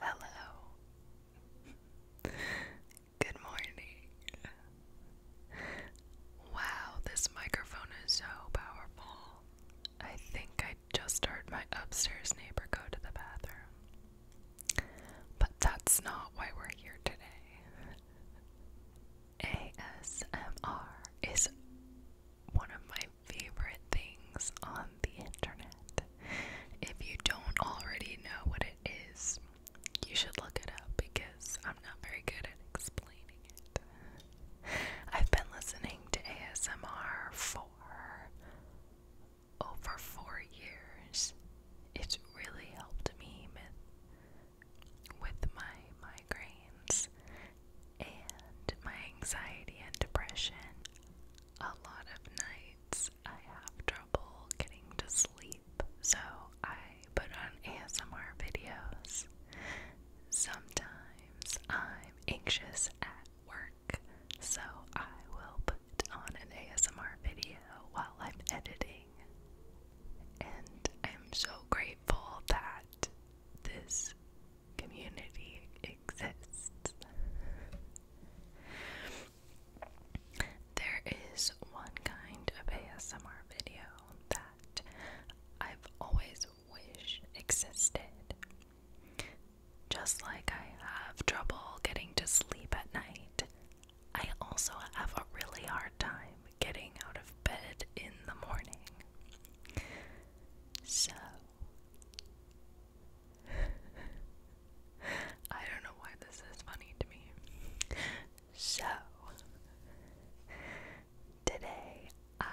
Hello. Good morning. Wow, this microphone is so powerful. I think I just heard my upstairs neighbor go to the bathroom. But that's not why we're here today. ASMR is one of my favorite things on the internet. If you don't already know what it is, you should look it up because I'm not very good at explaining it. I've been listening to ASMR for over four years. It's really helped me with, with my migraines and my anxiety and depression. A lot of nights I have trouble getting to sleep, so I put on ASMR videos. Sometimes I'm anxious at work, so I will put on an ASMR video while I'm editing. And I'm so grateful that this community exists. There is one kind of ASMR video that I've always wish existed. Just like I have trouble getting to sleep at night, I also have a really hard time getting out of bed in the morning. So, I don't know why this is funny to me. So, Today, I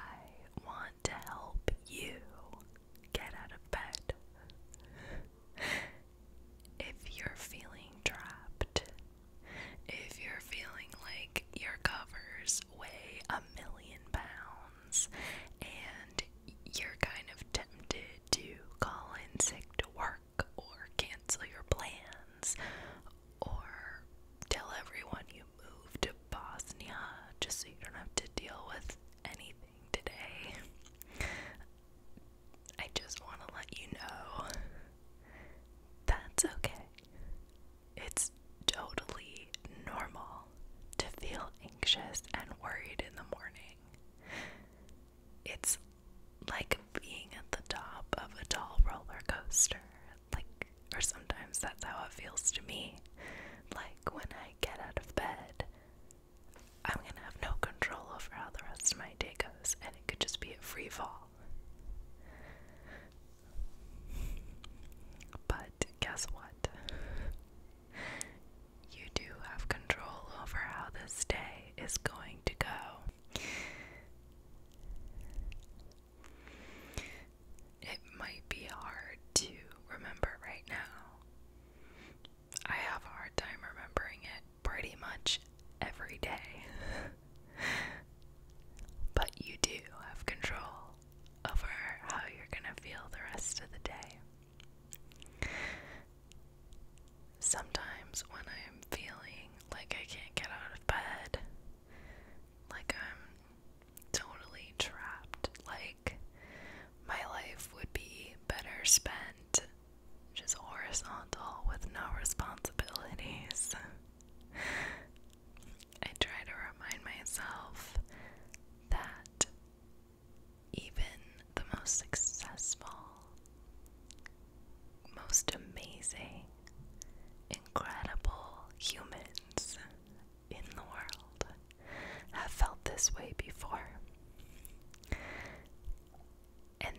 want to help you get out of bed. if you're feeling trapped, if you're feeling like your covers weigh a million pounds and you're kind of tempted to call in sick to work or cancel your plans or tell everyone you move to Bosnia just so you don't have to deal with anything today. I just want to let you know that's okay. It's totally normal to feel anxious and worried in the morning. It's like being at the top of a tall roller coaster like or sometimes that's how it feels to me. Like when I get out of bed, I'm gonna have no control over how the rest of my day goes, and it could just be a free fall. But guess what? You do have control over how this day is going to go. It might be hard to remember right now. I have a hard time remembering it pretty much every day. but you do have control over how you're going to feel the rest of the day. Sometimes when I'm feeling like I can't get out of bed, like I'm totally trapped. Like, my life would be better spent just horizontal with no responsibilities. I try to remind myself that even the most successful, most amazing, incredible humans in the world have felt this way before. And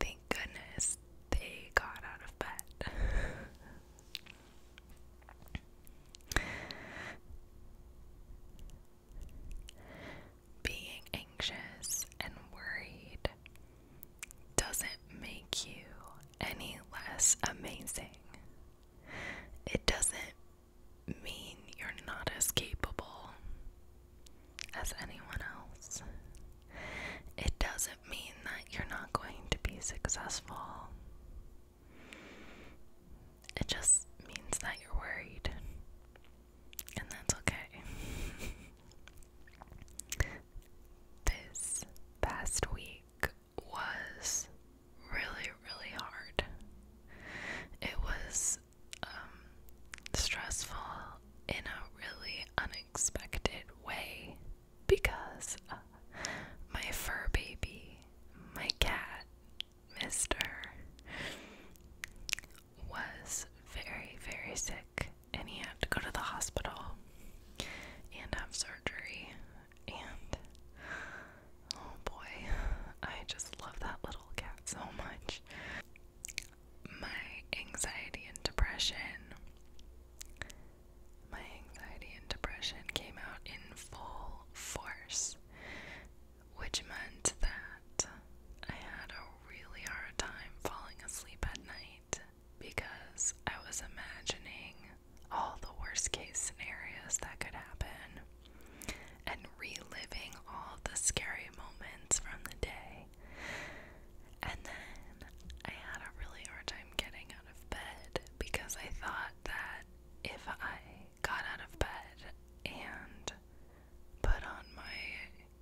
thank goodness they got out of bed. Being anxious and worried doesn't make you any less amazing it doesn't mean you're not as capable as anyone else. It doesn't mean that you're not going to be successful. It just means that you're worried. And that's okay. this past week, was really, really hard. It was um, stressful in a really unexpected way because uh, my fur baby, my cat, Mister, was very, very sick and he had to go to the hospital and have surgery and oh boy, I just love that little cat so much. My anxiety and depression. My anxiety and depression came out in full force, which meant that I had a really hard time falling asleep at night because I was imagining all the worst case scenarios that could happen and reliving all the scary moments from the day. And then I had a really hard time getting out of bed because I thought that if I got out of bed and put on my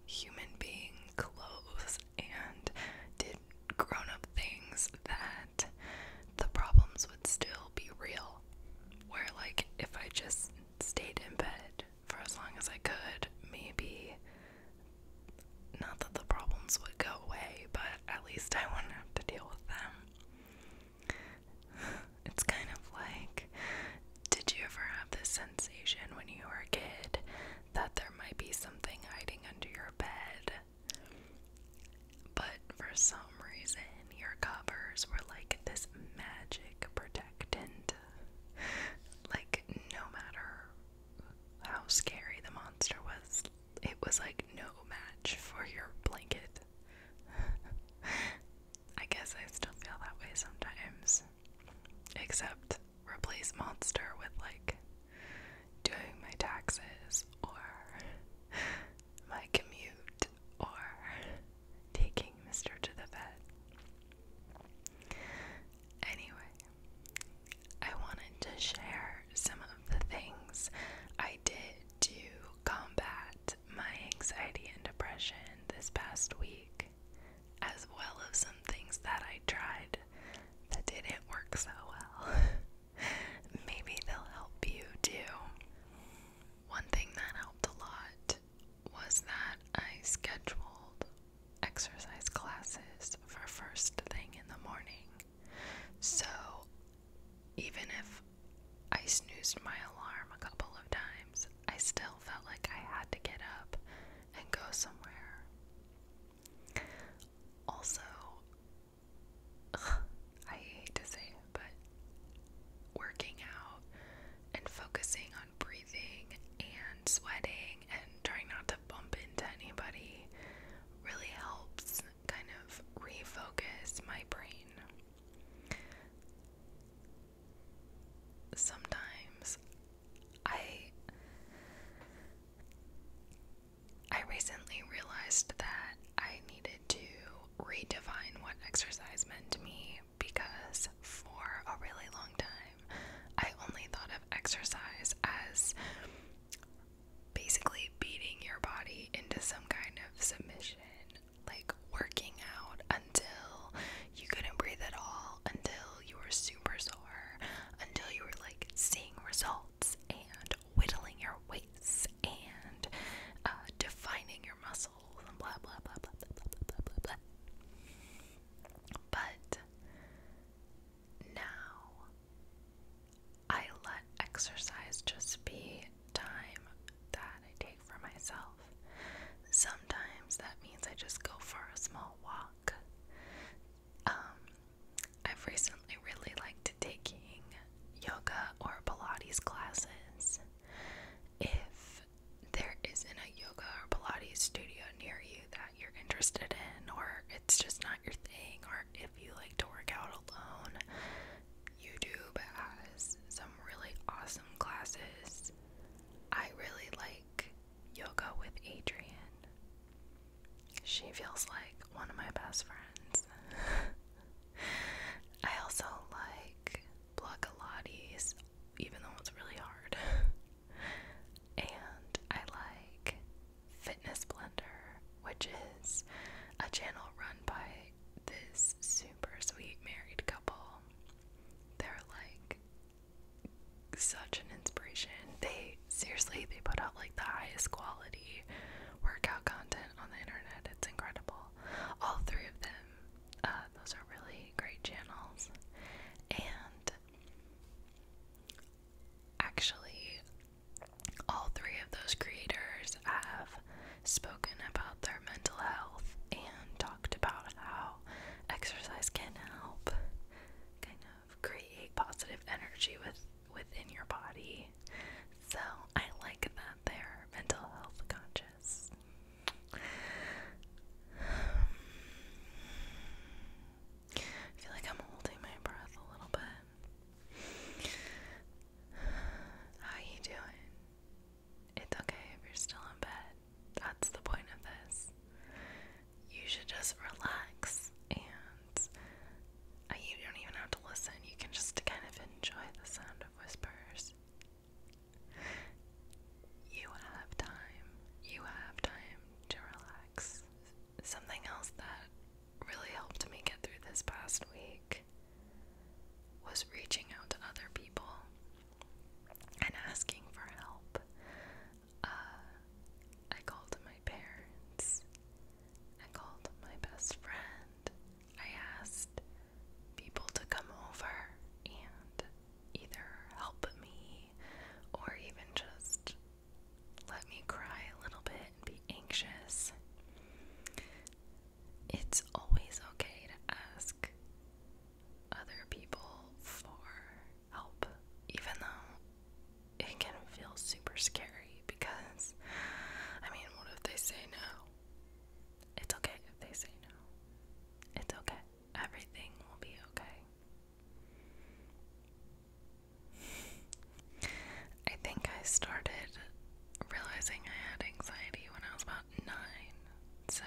human being clothes and did grown up things, that the problems would still be real. Where, like, if I just stayed in bed for as long as I could, maybe not that the problems would go away, but at least I wouldn't have to deal with them. It's kind of like did you ever have this sensation when you were a kid that there might be something hiding under your bed but for some reason, your covers were like this magic protectant. like, no matter how scary the monster was, it was like no match for your blanket. I guess I still feel that way sometimes. Except replace monster with like doing my taxes or my commute or taking Mister to the vet. Anyway, I wanted to share some of the things I did to combat my anxiety and depression this past week, as well as some things that I tried that didn't work so well. Maybe they'll help you too. One thing that helped a lot was that I scheduled exercise classes for first thing in the morning. So even if I snoozed my alarm a couple of times, I still felt like I had to get up and go somewhere. Also, I hate to say it, but working out and focusing on breathing and sweating and trying not to bump into anybody really helps kind of refocus my brain. Sometimes I I recently realized that I needed to redefine what exercise meant to me because for a really long time I only thought of exercise as basically beating your body into some kind of submission, like working out until you couldn't breathe at all, until you were super sore, until you were like seeing results and whittling your weights and uh, defining your muscles and blah blah blah blah blah blah blah But now I let exercise just be time that I take for myself. Sometimes that means I just go for a small walk. Um, I've recently really liked taking yoga or Pilates classes. If there isn't a yoga or Pilates studio near you that you're interested in, or it's just not your thing, or if you like to work out alone, YouTube has some really awesome classes. I really like yoga with Adrian. She feels like one of my best friends. I also like blockalates, even though it's really hard. and I like Fitness Blender, which is a channel run by this super sweet married couple. They're like such an inspiration. They seriously they put out like the highest quality workout content on the internet. It's incredible. All three of them, uh, those are really great channels. And actually, all three of those creators have spoken about their mental health and talked about how exercise can help kind of create positive energy with within your body. So I like that they're mental health conscious. I feel like I'm holding my breath a little bit. How you doing? It's okay if you're still in bed. That's the point of this. You should just relax and you don't even have to listen, you can just kind of enjoy the sound of whispers. You have time. You have time to relax. Something else that really helped me get through this past week was reaching out to other people and asking for help. Uh, I called my parents, I called my best friend, I asked people to come over and either help me or even just let me cry a little bit and be anxious. It's always okay to ask other people for help, even though it can feel super scary because, I mean, what if they say no? It's okay if they say no. It's okay. Everything will be okay. I think I started realizing I had anxiety when I was about nine, so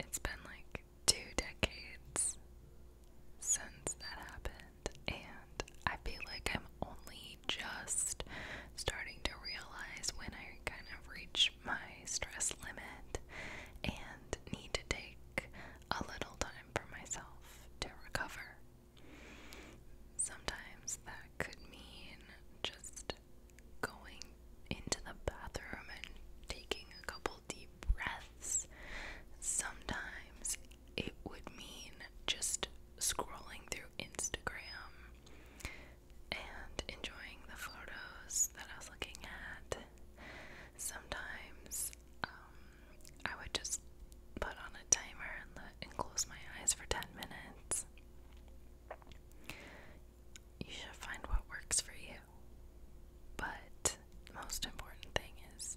it's been like two decades since that happened and I feel like I'm only just starting to realize when I kind of reach my stress limit and need to take a little time for myself to recover. Sometimes that could mean just going into the bathroom and taking a couple deep breaths. Sometimes it would mean just scrolling through Instagram and enjoying the photos that I was looking at. Sometimes um, I would just put on a timer and, and close my eyes for 10 minutes. You should find what works for you. But the most important thing is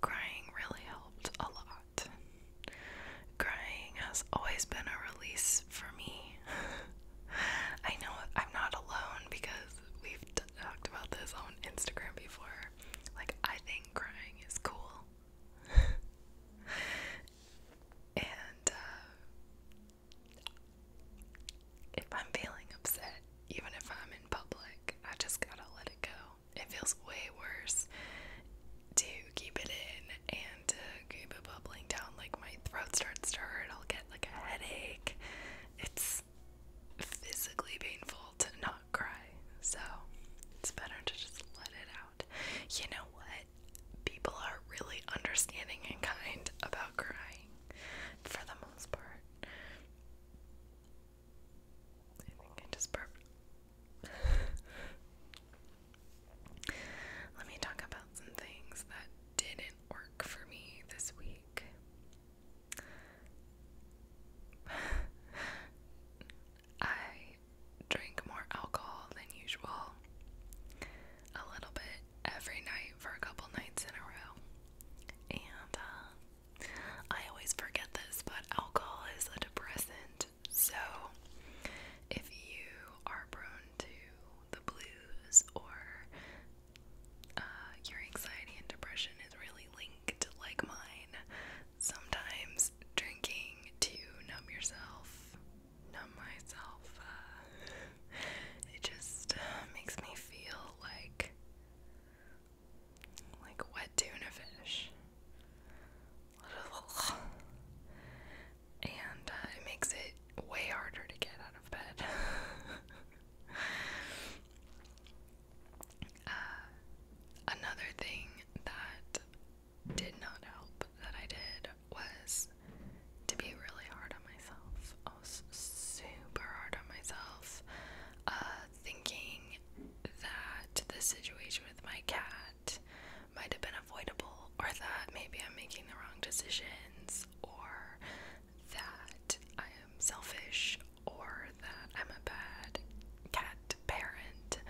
Crying really helped a lot. Crying has always been a release for me. I know I'm not alone because we've talked about this on Instagram before. Like, I think crying is cool. and uh, if I'm feeling upset, even if I'm in public, I just gotta let it go. It feels way worse to keep it in and keep it bubbling down. Like my throat starts to hurt, I'll get like a headache. It's physically painful to not cry, so it's better to just let it out. You know what? People are really understanding and kind about crying for the most part. I think I just Let me talk about some things that didn't work for me this week. I drink more alcohol than usual, a little bit every night for a couple nights in a row, and uh, I always forget this, but alcohol is a depressant. So, if you are prone to the blues or uh, your anxiety and depression is really linked, like mine, sometimes drinking to numb yourself, numb myself, uh, it just uh, makes me feel like like wet tuna fish. And uh, it makes it way harder to get out of bed. Uh, another thing that did not help that I did was to be really hard on myself. I was super hard on myself. Uh, thinking that the situation with my cat might have been avoidable, or that maybe I'm making the wrong decisions, or that I am selfish, or that I'm a bad cat parent.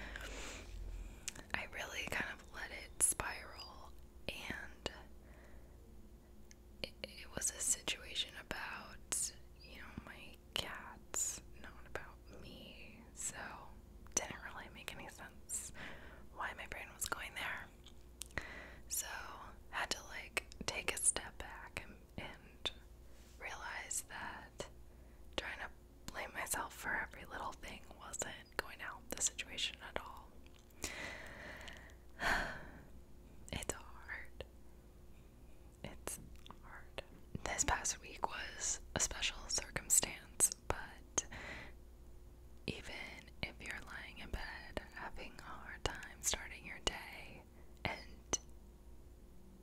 I really kind of let it spiral, and it, was a situation about, you know, my cats, not about me. So, didn't really make any sense why my brain was going there. So, had to like take a step back and, realize that trying to blame myself for every little thing wasn't going to help the situation at all. it's hard. It's hard. This past week was a special circumstance, but even if you're lying in bed having a hard time starting your day and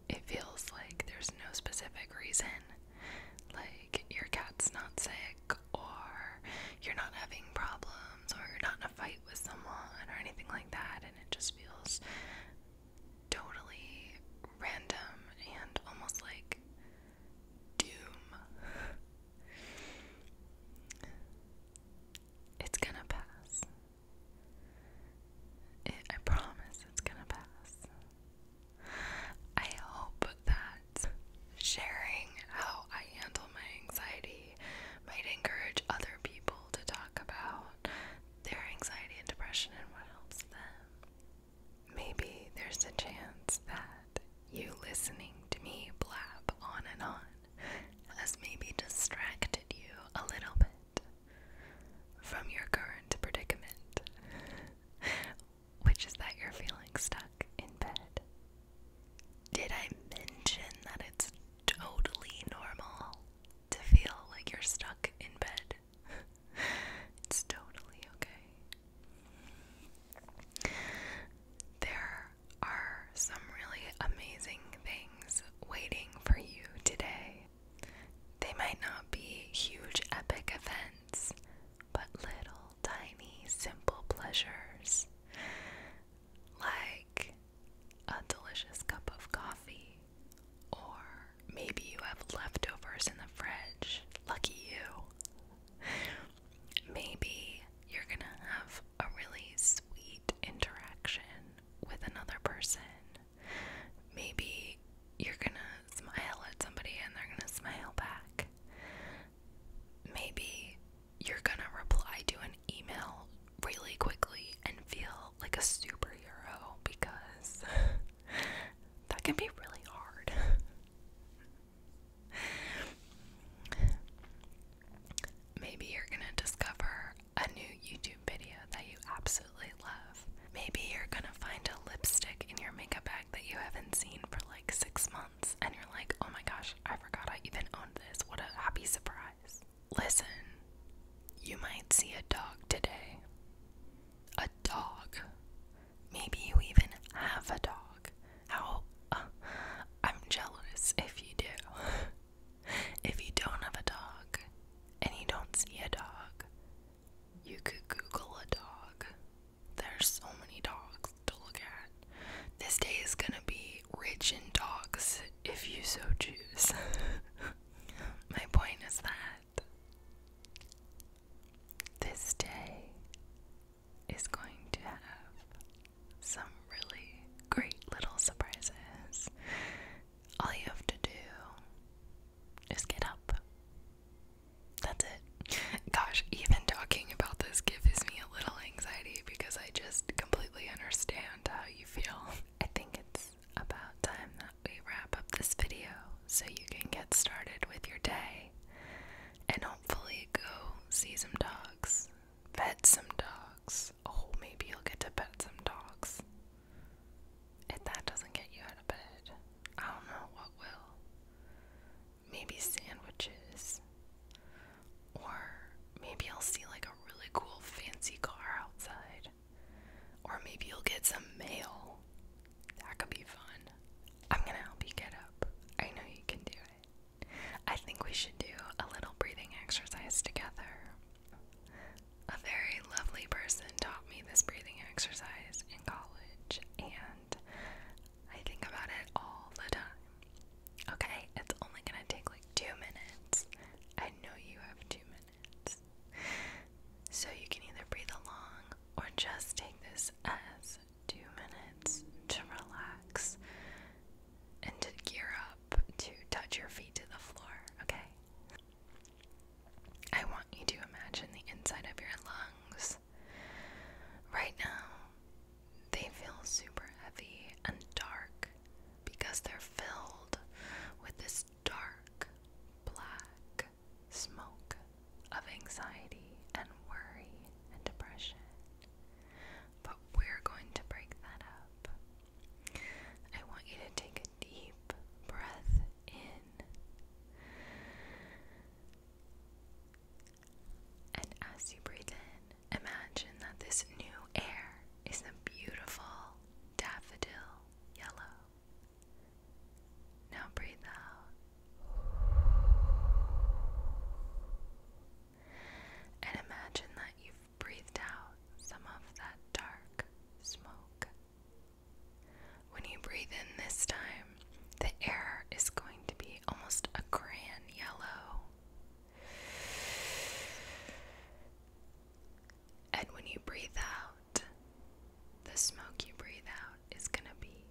it feels like there's no specific reason, like your cat's not sick or you're not having problems or you're not in a fight with someone or anything like that, and it just feels totally random and almost like doom. It's gonna pass. I promise it's gonna pass. I hope that sharing how I handle my anxiety might encourage other people to talk about their anxiety and depression and what helps them. Maybe there's a chance that you listening to me blab on and on has maybe distracted you a little bit from your current predicament, which is that you're feeling stuck in bed. Did I mention that it's totally normal to feel like you're stuck in bed. it's totally okay. There are some really amazing things waiting for you today. They might not be huge epic events, but little tiny simple pleasures like a delicious cup of coffee, or maybe you have leftovers in the fridge. Lucky you. Maybe you're gonna have a really sweet interaction with another person. Maybe you're gonna smile at somebody and they're gonna smile back. Maybe you're gonna reply to an email really quickly and feel like a superhero because that can be really hard. Maybe you're gonna discover a new YouTube video that you absolutely love. Maybe you're gonna find a lipstick in your makeup bag that you haven't seen for like six months and you're like, oh my gosh, I forgot I even owned this. What a happy surprise. Listen, you might see a dog today. A dog. Maybe you even have a dog. How? Uh, I'm jealous if you do. if you don't have a dog and you don't see a dog, you could Google a dog. There's so many dogs to look at. This day is gonna be rich in dogs if you so choose. My point is that this day is going to have some really great little surprises. All you have to do is get up. That's it. Gosh, even talking about this gives me a little anxiety because I just completely understand how you feel. I think it's about time that we wrap up this video so you can get started with your day and hopefully go see some dogs, pet some dogs. Oh, maybe you'll get to pet some dogs. If that doesn't get you out of bed, I don't know what will. Maybe sandwiches. Or maybe I'll see like a really cool fancy car outside or maybe you'll get some mail. That could be fun. I'm gonna help you get up. I know you can do it. I think we should do a little breathing exercise together. A very lovely person taught me this breathing exercise in college, and I think about it all the time. Okay, it's only gonna take like two minutes. I know you have two minutes. So you can either breathe along or just take this as two minutes to relax and to gear up to touch your feet to the floor, okay? I want you to imagine the inside of your lungs. Right now, they feel super heavy and dark because they're filled with this dark black smoke of anxiety and worry and depression. But we're going to break that up. I want you to take a deep breath in. And as you breathe in, imagine that this new air is beautiful daffodil yellow. Now breathe out. And imagine that you've breathed out some of that dark smoke. When you breathe in this time, the air is going to be almost a gran yellow. And when you breathe out, the smoke you breathe out is going to be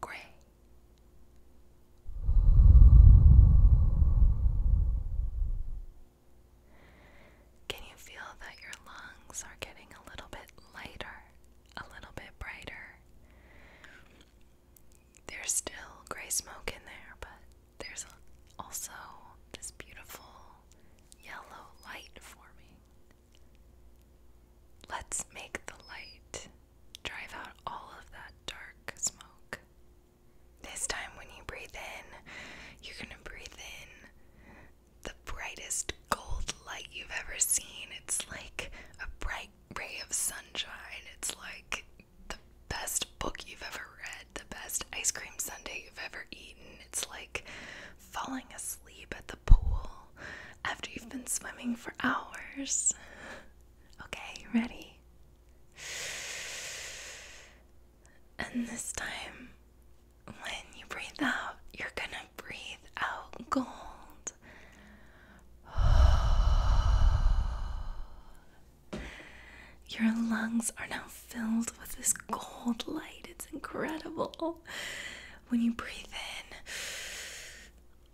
gray. Can you feel that your lungs are getting a little bit lighter, a little bit brighter? There's still gray smoke in there, but there's also this beautiful yellow light for me. Let's make the light drive out all of that dark smoke. This time, when you breathe in, you're gonna breathe in the brightest gold light you've ever seen. It's like a bright ray of sunshine. It's like the best book you've ever read, the best ice cream sundae you've ever eaten. It's like falling asleep at the pool after you've been swimming for hours. Okay, ready? And this time, when you breathe out, you're gonna breathe out gold. Your lungs are now filled with this gold light. It's incredible. When you breathe in,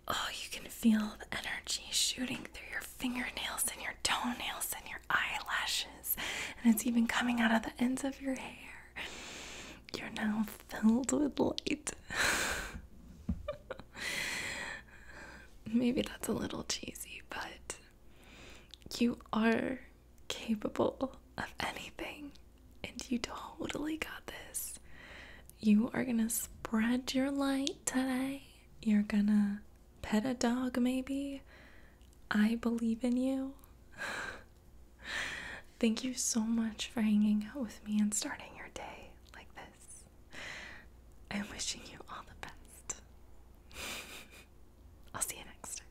oh, you can feel the energy shooting through your fingernails and your toenails and your eyelashes, and it's even coming out of the ends of your hair. You're now filled with light. Maybe that's a little cheesy, but you are capable of anything, and you totally got this. You are gonna spread your light today. You're gonna pet a dog, maybe. I believe in you. Thank you so much for hanging out with me and starting your day like this. I'm wishing you all the best. I'll see you next time.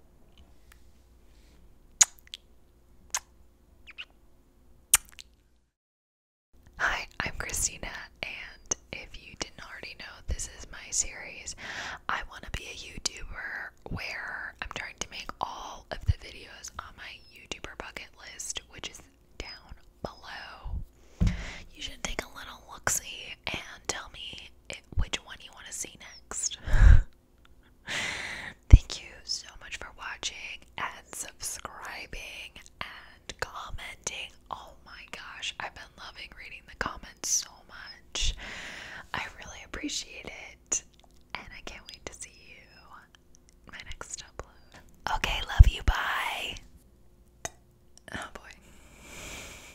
Hi, I'm Christina, and if you didn't already know, this is my series. I want to be a YouTuber where I'm trying to make all of the videos on my YouTuber bucket list, which is down below. You should take a little look see and tell me which one you want to see next. Thank you so much for watching and subscribing and commenting. Oh my gosh, I've been loving reading the comments so much. I really appreciate it. And I can't wait to see you my next upload. Okay, love you. Bye. Oh boy.